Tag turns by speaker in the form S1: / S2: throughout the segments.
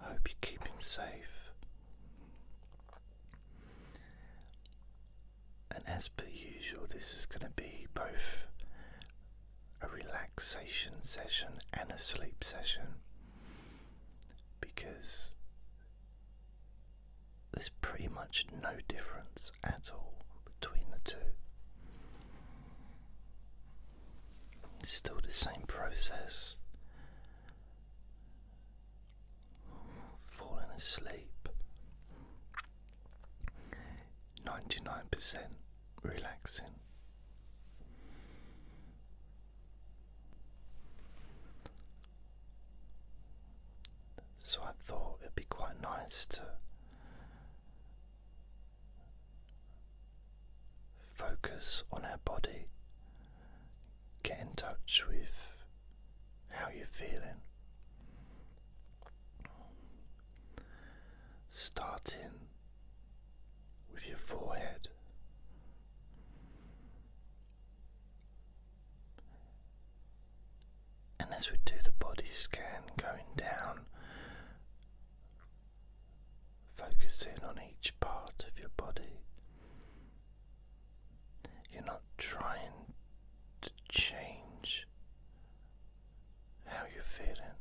S1: I hope you're keeping safe. And as per usual, this is going to be both a relaxation session and a sleep session because there's pretty much no difference at all between the two. It's still the same process falling asleep. 99% relaxing. So I thought it'd be quite nice to focus on our body get in touch with how you're feeling. Starting with your forehead. And as we do the body scan going down, focusing on each part of your body, you're not trying to change how you're feeling.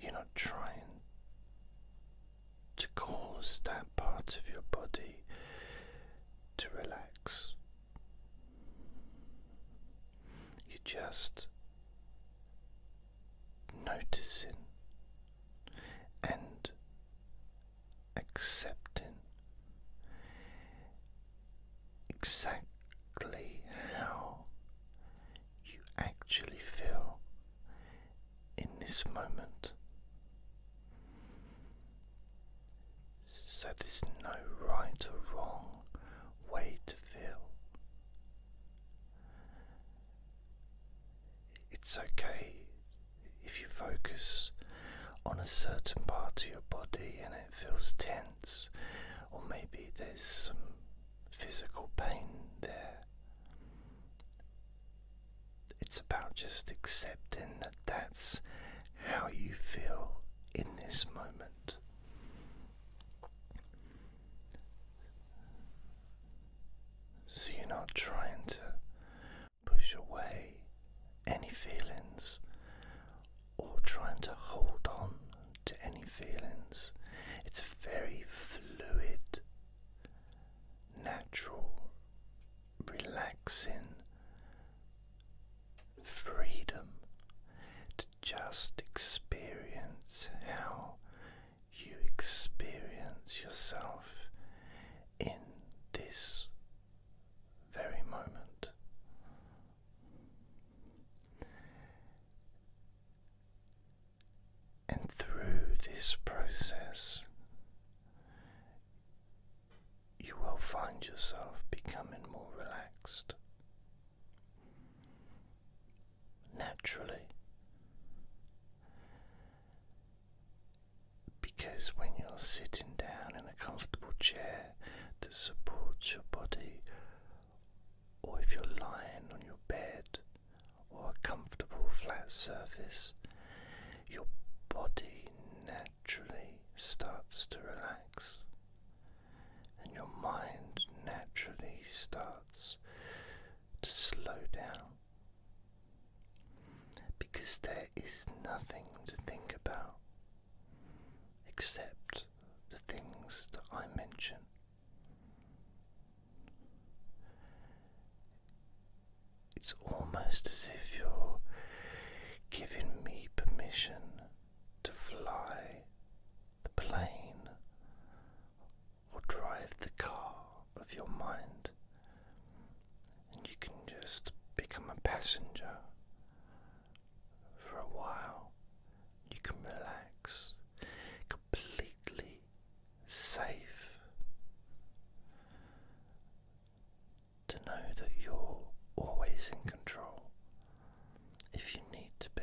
S1: You're not trying to cause that part of your body to relax. You're just noticing and accepting exactly how you actually feel in this moment. So there's no right or wrong way to feel. It's okay if you focus on a certain part of your body and it feels tense, or maybe there's some physical pain there. It's about just accepting that that's how you feel in this moment. So you're not trying to push away any feelings or trying to hold on to any feelings. It's a very fluid, natural, relaxing freedom to just experience how you experience yourself in this very moment. And through this process, you will find yourself becoming more relaxed. Naturally, because when you're sitting down in a comfortable chair that supports your body, or if you're lying on your bed or a comfortable flat surface, your body naturally starts to relax and your mind naturally starts to slow down because there is nothing to think about except the things that I mention. It's almost as if you're giving me permission to fly the plane or drive the car of your mind and you can just become a passenger for a while. You can relax completely safe to know that you're always in control if you need to be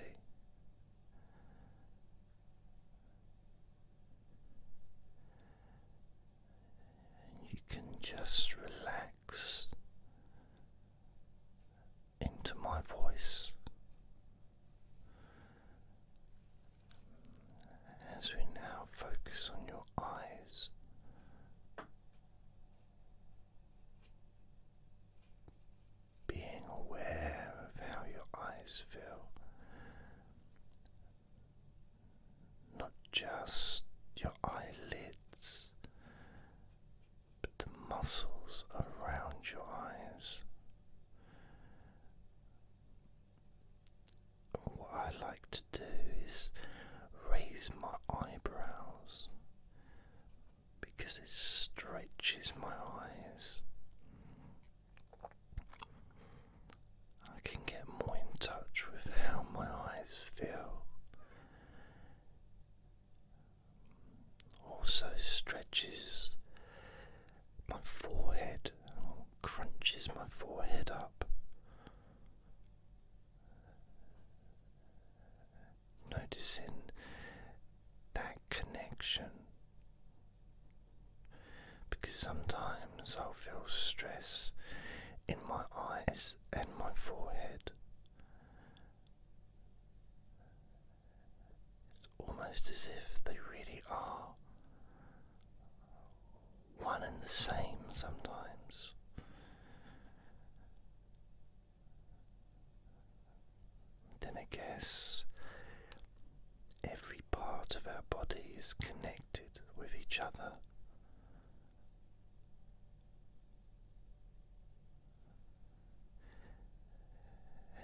S1: and you can just relax into my voice as we now focus on your eyes. Being aware of how your eyes feel not just your eyelids, but the muscles around your eyes. What I like to do is raise my eyebrows because it stretches my eyes. I can get more in touch with how my eyes feel. Also stretches my forehead, and crunches my forehead up. Noticing that connection because sometimes i feel stress in my eyes and my forehead. It's almost as if they really are one and the same sometimes. Then I guess every part of our body is connected with each other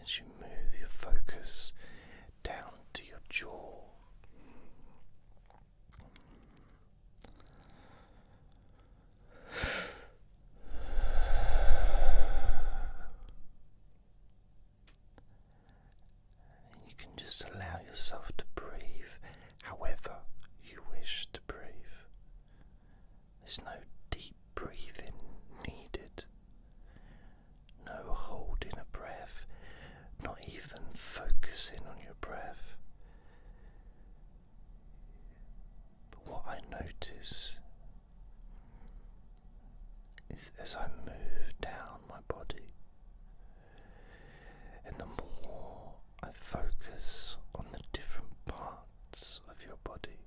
S1: as you move your focus down to your jaw, and you can just allow yourself to breathe however you wish to breathe. There's no deep breathing needed, no holding a breath, not even focusing on your breath. But what I notice is as I move down my body, and the more I focus on the different parts of your body,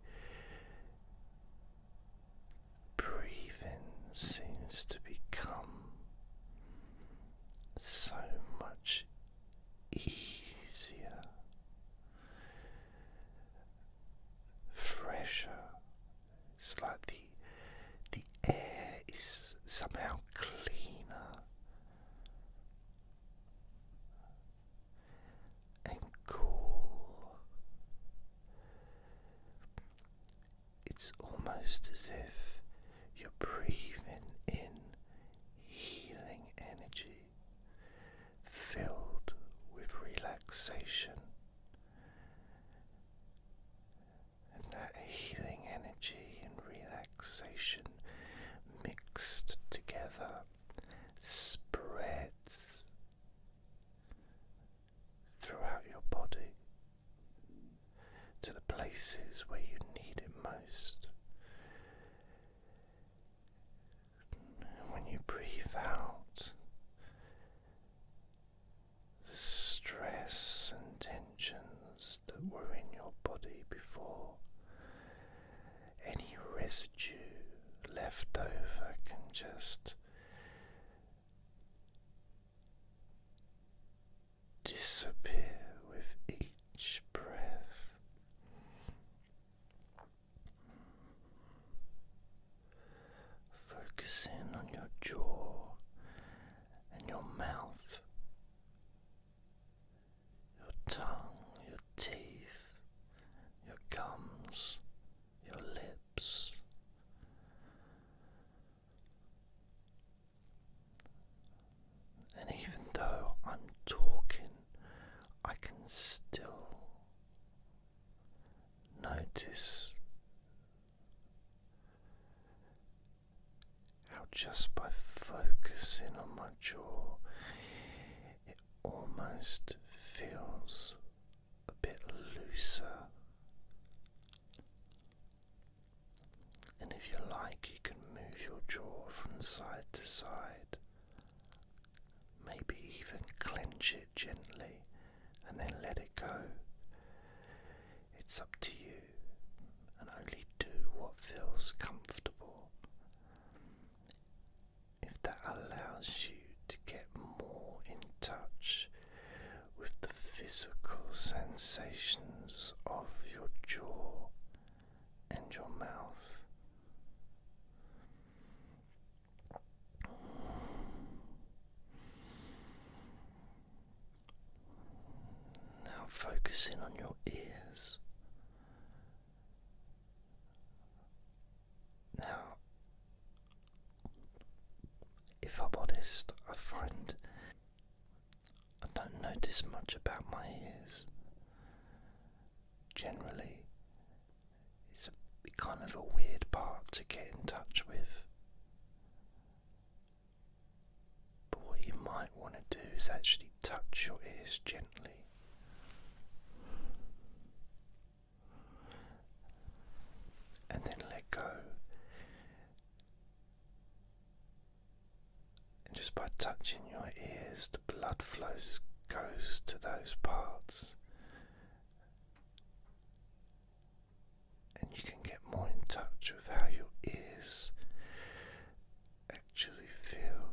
S1: breathing seems to become so much easier, fresher. It's like the the air is somehow cleaner and cool. It's almost as if you're breathing in healing energy filled with relaxation and that healing energy and relaxation mixed together spreads throughout your body to the places where you need it most. And when you breathe out, the stress and tensions that were in your body before. Any residue left over can just disappear with each breath. Focus in on your jaw and your mouth your tongue, your teeth, your gums, your lips. And even though I'm talking, I can still notice how just by focusing on my jaw, it almost feels a bit looser. And if you like, you can move your jaw from side to side, maybe even clench it gently and then let it go. It's up to you and only do what feels comfortable. If that allows you to get more in touch with the physical sensations of your jaw and your mouth. Now focus in on your ears. Now, if I'm honest, I find I don't notice much about my ears. Generally, it's a kind of a weird part to get in touch with. But what you might want to do is actually touch your ears gently. And then let go. And just by touching your ears, the blood flows goes to those parts. And you can get more in touch with how your ears actually feel.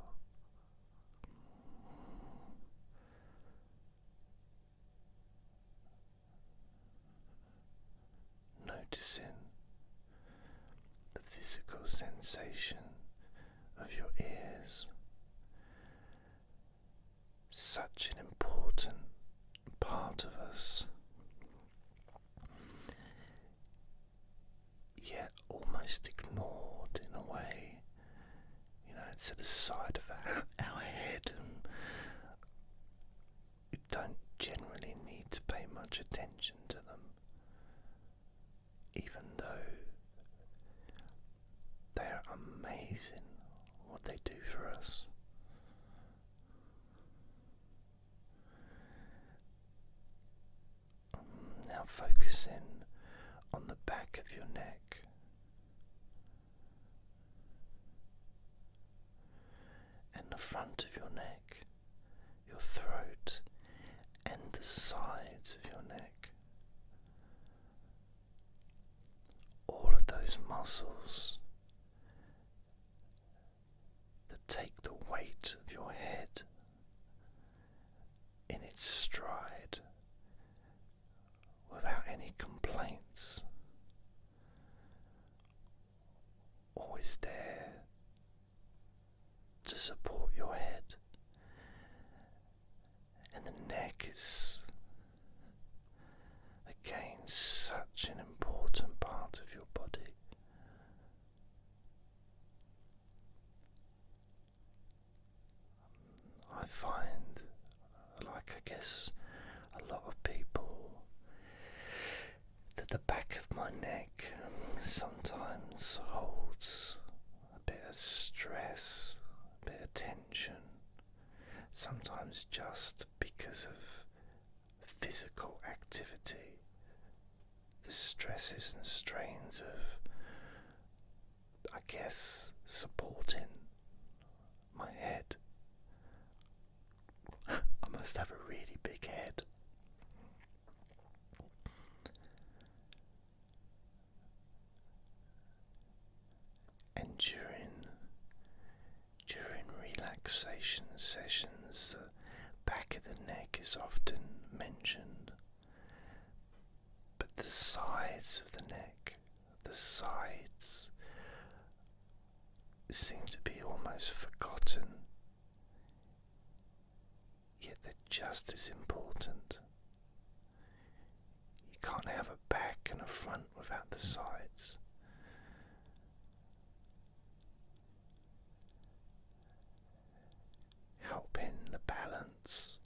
S1: Noticing the physical sensation of your ears, such an important part of us yet almost ignored in a way. You know, it's at the side of our, head, and we don't generally need to pay much attention to them, even though they are amazing what they do for us. Now focus in on the back of your neck. And the front of your neck, your throat, and the sides of your neck. All of those muscles that take the weight of your head in its stride without any complaints. Always there to support your head, and the neck is again such an important part of your body. I find, like I guess a lot of people, that the back of my neck sometimes holds a bit of stress, a bit of tension, sometimes just because of physical activity, the stresses and strains of, I guess, supporting my head. I must have a really big head. And during during relaxation sessions, uh, back of the neck is often mentioned, but the sides of the neck, the sides, seem to be almost forgotten, yet they're just as important. You can't have a back and a front without the sides helping the balance,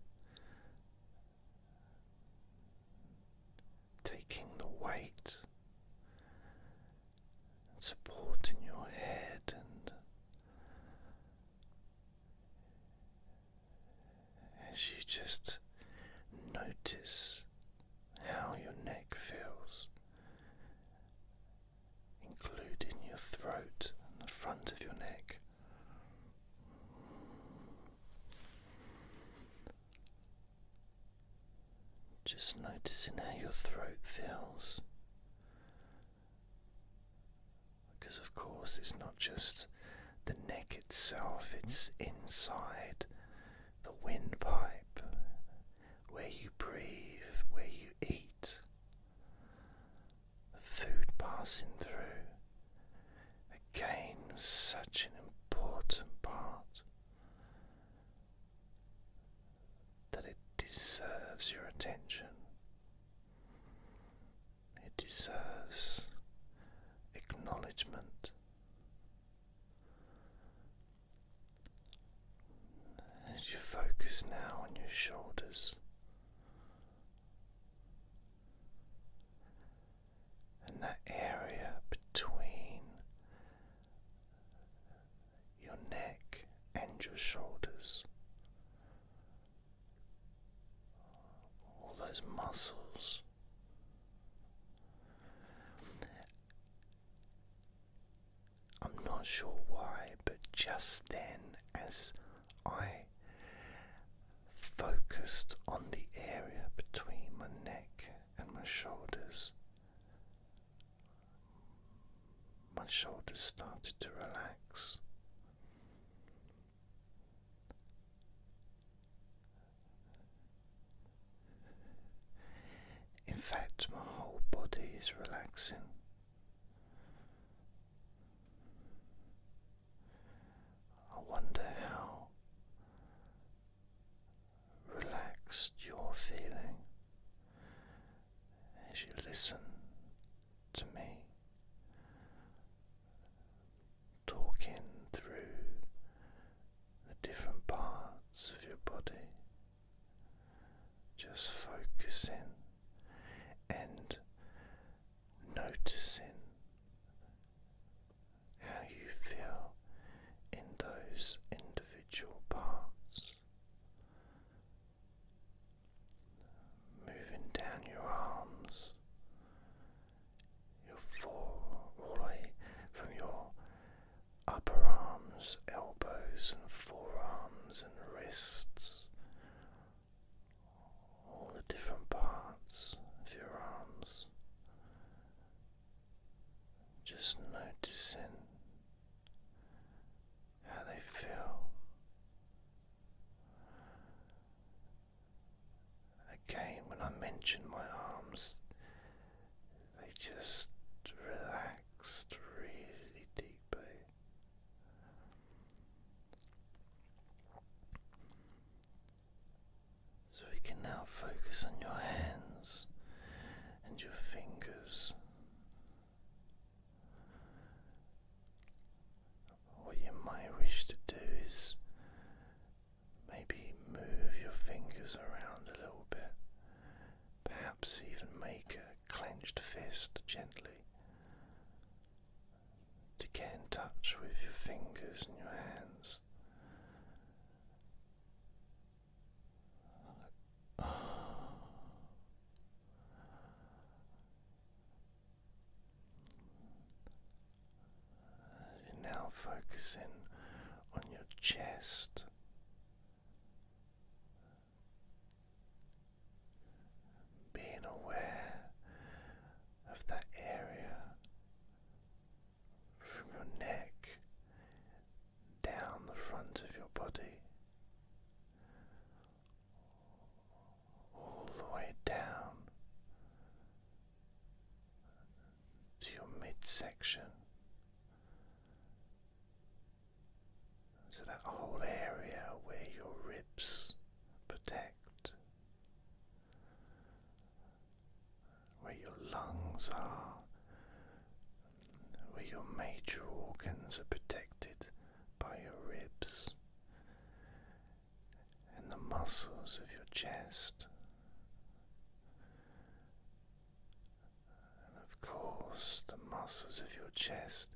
S1: taking the weight and supporting your head and as you just notice how your neck feels including your throat and the front of your neck. Just noticing how your throat feels. Because, of course, it's not just the neck itself, it's inside the windpipe, where you breathe, where you eat, food passing through. Again, such an important part that it deserves your attention. It deserves acknowledgement. As you focus now on your shoulders and that area between your neck and your shoulders, all those muscles. I'm not sure why, but just then, as I focused on the area between my neck and my shoulders, my shoulders started to relax. In fact, my whole body is relaxing. I wonder how relaxed you're feeling as you listen to me talking through the different parts of your body. Just focusing and noticing how you feel in those individual parts. Moving down your arms, your fore, from your upper arms, elbows, and forearms and wrists, all the different parts of your arms. Just noticing how they feel. Again, when I mention my arms, they just relaxed really deeply. So we can now focus on your hands and your fingers. What you might wish to do is maybe move your fingers around a little bit, perhaps even make a clenched fist gently to get in touch with your fingers and your hands. You're now focusing on your chest being aware of that area from your neck down the front of your body, all the way down to your midsection. So that whole area where your ribs protect, where your lungs are, where your major organs are protected by your ribs and the muscles of your chest. And of course, the muscles of your chest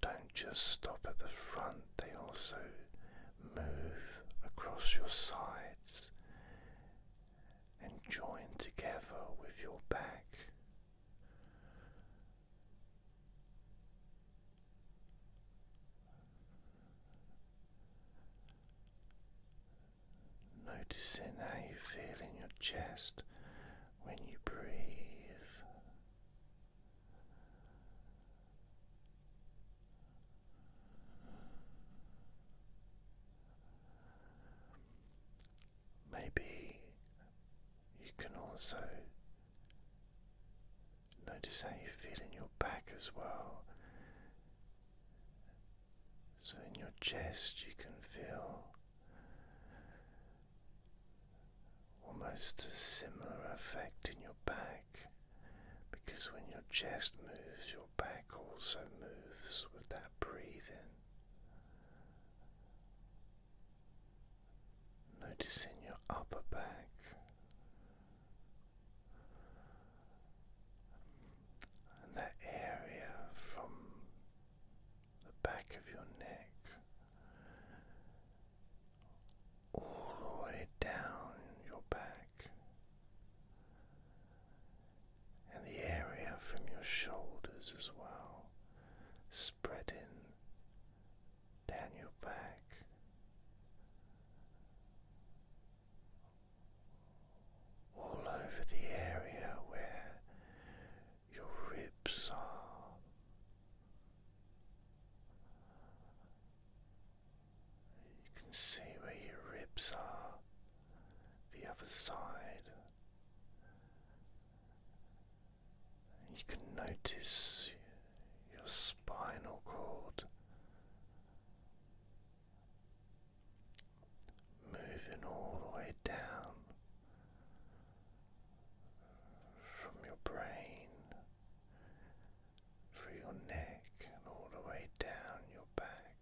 S1: don't just stop at the front, they also move across your sides and join together with your back. Noticing how you feel in your chest when you breathe. Maybe you can also notice how you feel in your back as well. So, in your chest, you can feel Almost a similar effect in your back because when your chest moves, your back also moves with that breathing. Noticing your upper back. And that area from the back of your neck, all the way down your back, and the area from your shoulders as well, spreading down your back. All over the area where your ribs are. You can see where your ribs are, the other side. You can notice your spinal cord moving all the way down from your brain through your neck and all the way down your back.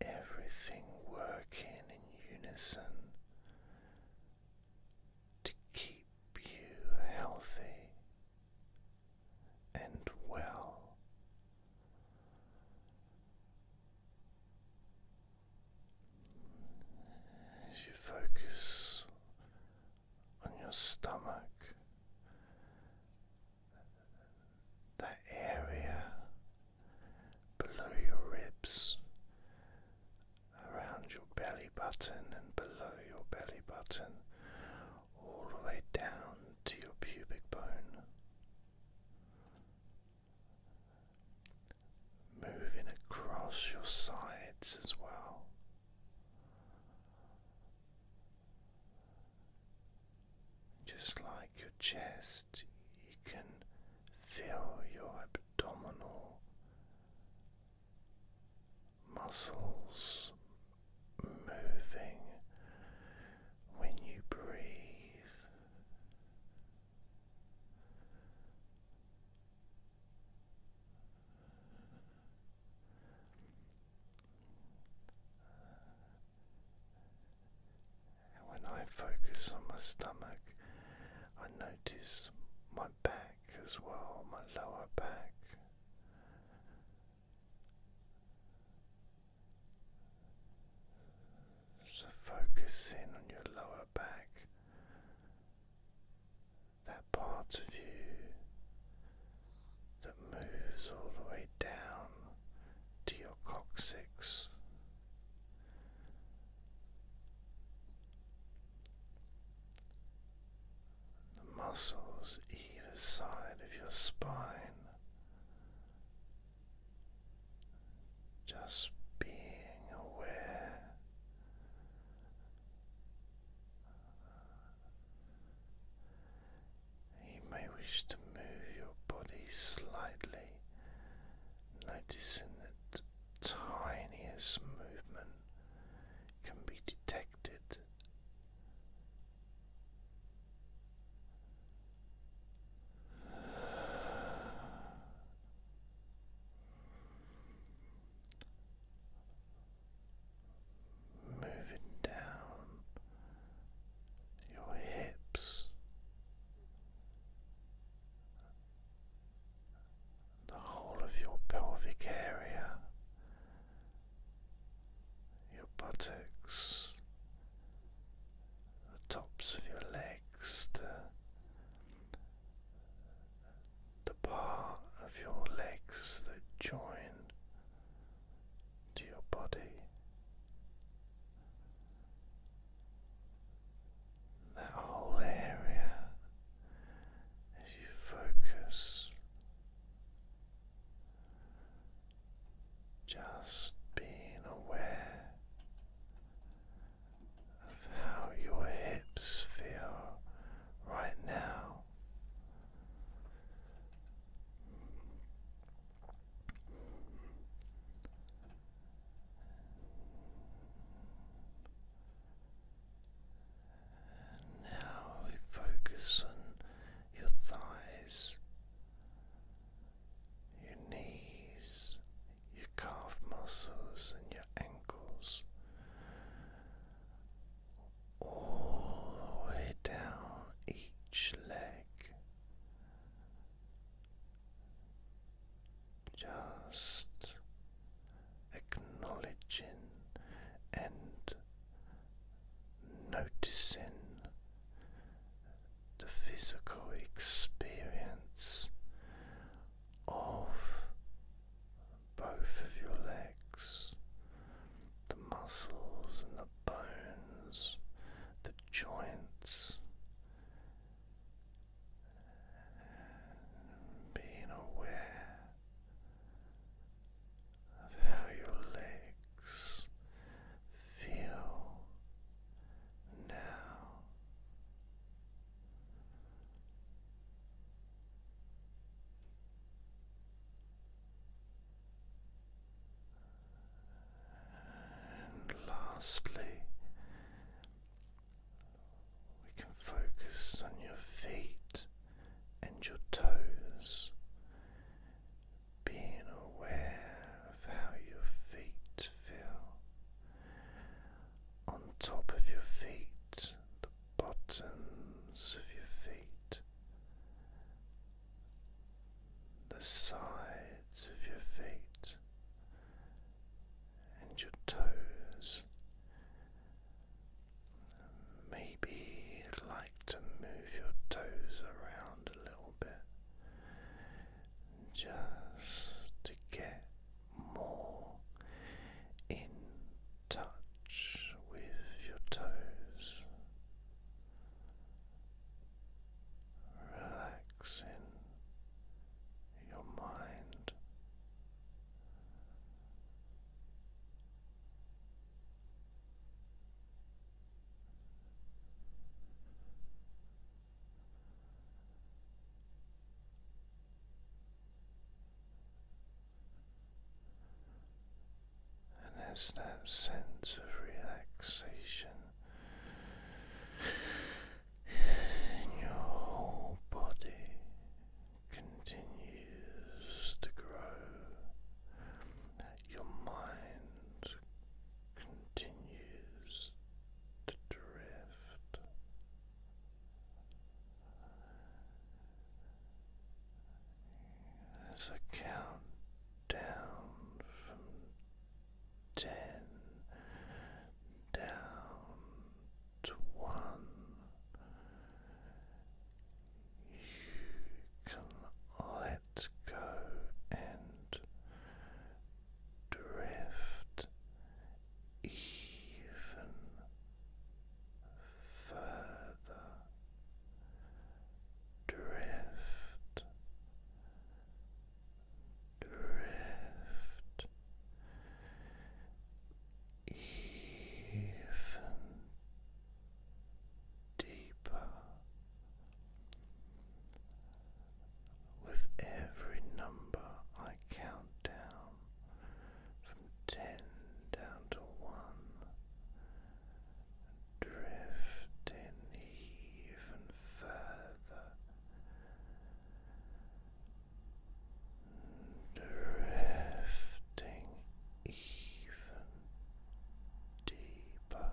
S1: Everything working in unison to keep you healthy and well. As you focus on your stomach, that area below your ribs, around your belly button, and below your belly button, all the way down to your pubic bone, moving across your sides as well. Just like your chest, you can feel your abdominal muscles moving when you breathe. when I focus on my stomach, I notice my back as well, my lower back. So focus in on your lower back, that part of you that moves all the way down to your coccyx. The muscles either side of your spine just being aware you may wish to move your body slightly, noticing that the tiniest movement can be detected Moving down your hips, the whole of your pelvic area, your buttocks, the tops of your legs, the, the part of your legs that join to your body. That whole area as you focus just being aware of how your hips feel right now. Now we focus on your thighs your knees, your calf muscles, and your ankles, all the way down each leg, just acknowledging and noticing the physical experience of both of your legs, the muscles and the bones, the joints. Being aware of how your legs feel now. And lastly, we can focus on your feet and your toes, being aware of how your feet feel on top of your feet, the bottoms of your feet, the sides of your feet, and your toes. Maybe like to move your toes around a little just to get more in touch with your toes, relaxing your mind. And as that sense of relaxation in your whole body continues to grow, your mind continues to drift. As a count down from ten down to one, you can let go and drift even further, drift, drift. Even deeper with every number I count down from ten down to one, drifting even further, drifting even deeper. Now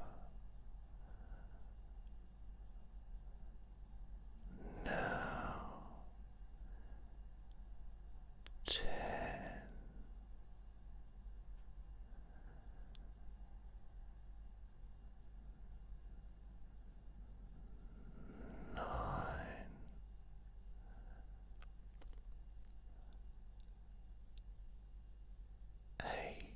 S1: ten. eight,